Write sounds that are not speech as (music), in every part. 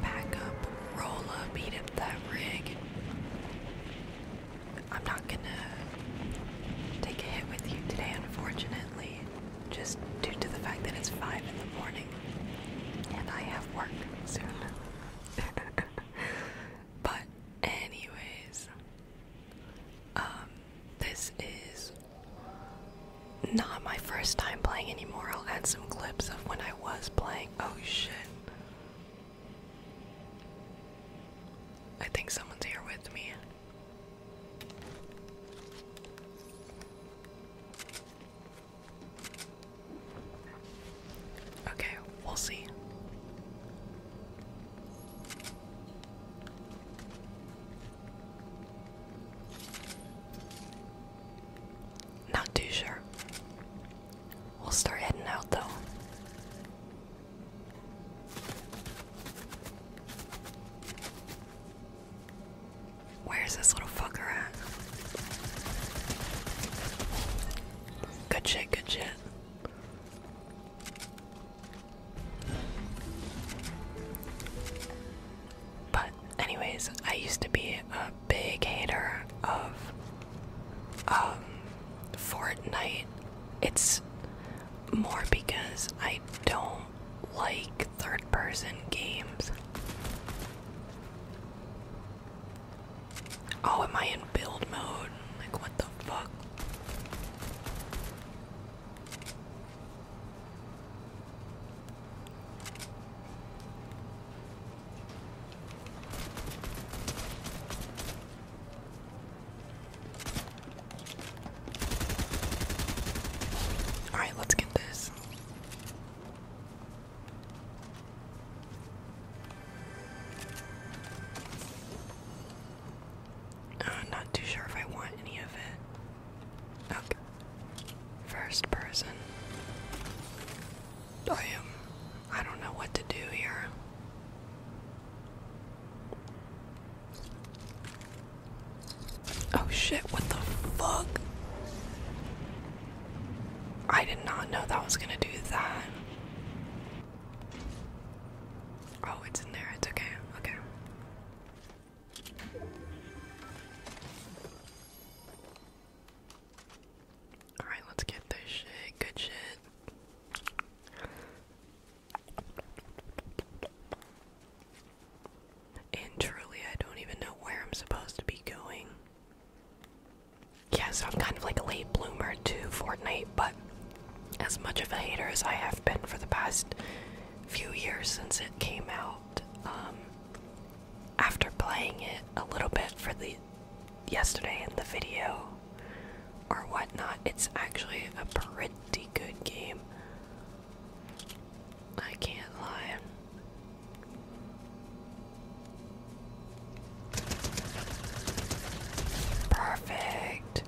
Pack up, roll up, beat up that rig. I'm not gonna take a hit with you today, unfortunately, just due to the fact that it's 5 in the morning and I have work soon. (laughs) but, anyways, um, this is not my first time playing anymore. I'll add some clips of when I was playing. Oh shit. I think someone's here with me. Okay, we'll see. Not too sure. We'll start heading out though. Where's this little fucker at? Good shit, good shit. But anyways, I used to be a big hater of um, Fortnite. It's more because I don't like third person games. Oh, am I in build mode? Like, what the fuck? All right, let's get this. I'm uh, not too sure if I want any of it. Okay. First person. I am. I don't know what to do here. Oh shit, what the fuck? I did not know that was gonna do that. Oh, it's in there. It's okay. Okay. Alright, let's get this shit. Good shit. And truly, I don't even know where I'm supposed to be going. Yeah, so I'm kind of like a late bloomer to Fortnite, but as much of a hater as I have been for the past few years since it came out. Um, after playing it a little bit for the yesterday in the video or whatnot, it's actually a pretty good game. I can't lie. Perfect.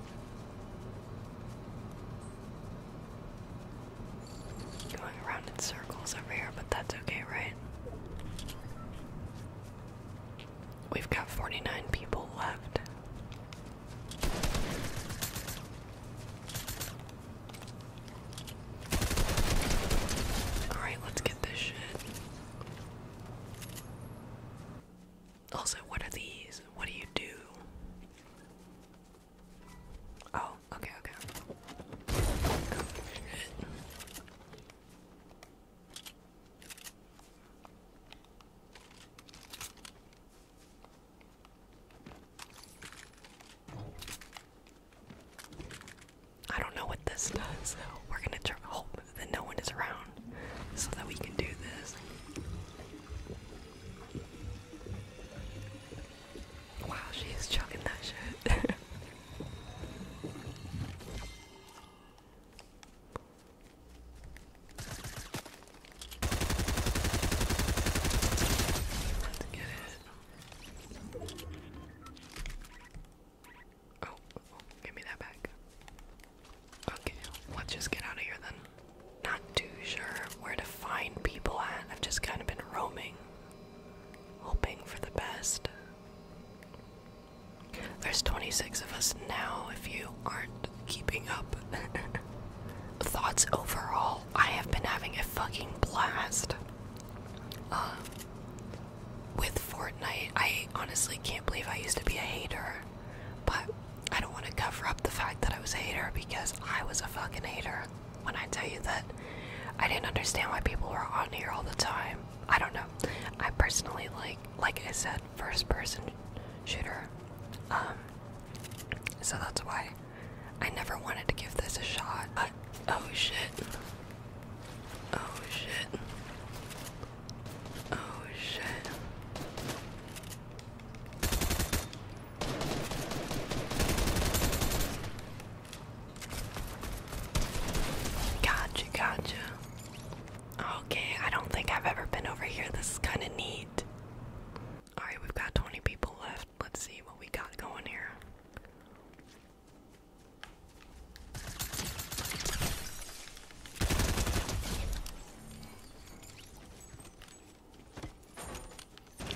Going around in circles over here, but that's okay, right? We've got 49 people left. Alright, let's get this shit. Also, what are these? What do you do? Oh, okay, okay. Oh, I don't know what this does, so we're gonna try hope that no one is around so that we can do this. Wow, she is chucking that shit. (laughs) Let's get it. Oh, oh, give me that back. Okay, let's just get out of here then. Not too sure where to find people at. I've just kind of been roaming, hoping for the best. There's 26 of us now if you aren't keeping up. (laughs) Thoughts overall, I have been having a fucking blast. Uh, with Fortnite, I honestly can't believe I used to be a hater. But I don't want to cover up the fact that I was a hater because I was a fucking hater when I tell you that I didn't understand why people were on here all the time. I don't know. I personally like, like I said, first person shooter. Um, so that's why I never wanted to give this a shot. But, oh shit. Oh shit. Oh shit. Gotcha, gotcha. Okay, I don't think I've ever been over here. This is kind of neat. Alright, we've got 20 people left. Let's see what we got going here.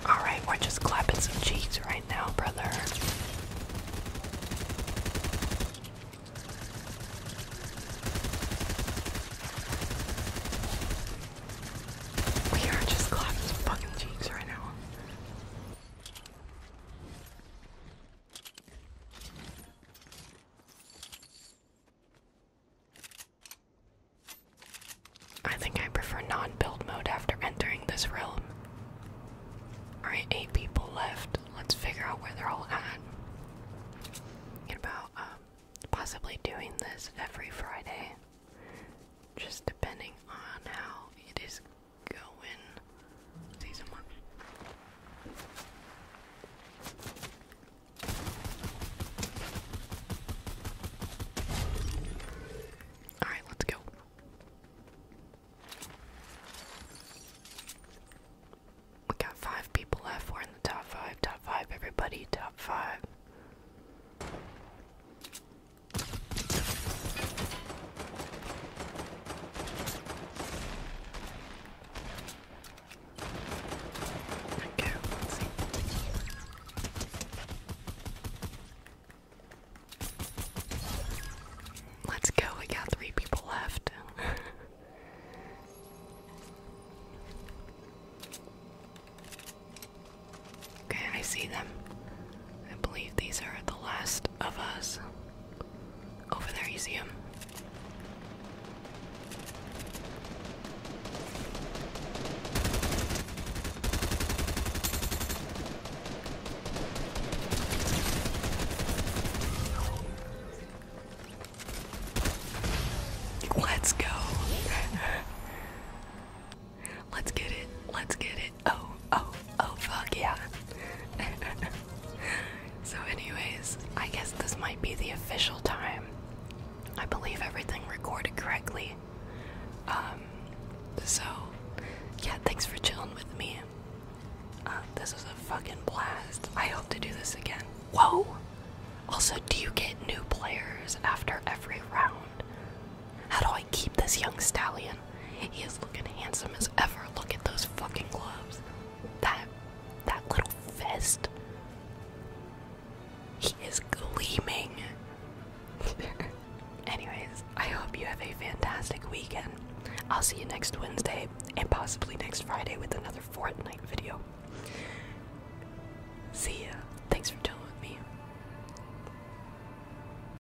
All right, we're just clapping some cheeks right now, brother. We are just clapping some fucking cheeks right now. I think I prefer non build mode after entering this realm. Alright, eight people left. Let's figure out where they're all at. about um, possibly doing this every Friday, just depending on how it is going. See someone. Alright, let's go. We got five people left. We're in the top five. Top five, everybody. Top five. Let's go, we got three people left. (laughs) okay, I see them. I believe these are the last of us. Over there, you see him. Let's go. (laughs) Let's get it. Let's get it. Oh, oh, oh, fuck yeah. (laughs) so, anyways, I guess this might be the official time. I believe everything recorded correctly. Um, so, yeah, thanks for chilling with me. Uh, this was a fucking blast. I hope to do this again. Whoa! Also, do you get new players after every round? How do I keep this young stallion. He is looking handsome as ever. Look at those fucking gloves. That that little vest. He is gleaming. (laughs) Anyways, I hope you have a fantastic weekend. I'll see you next Wednesday and possibly next Friday with another fortnight video. See ya. Thanks for chilling with me.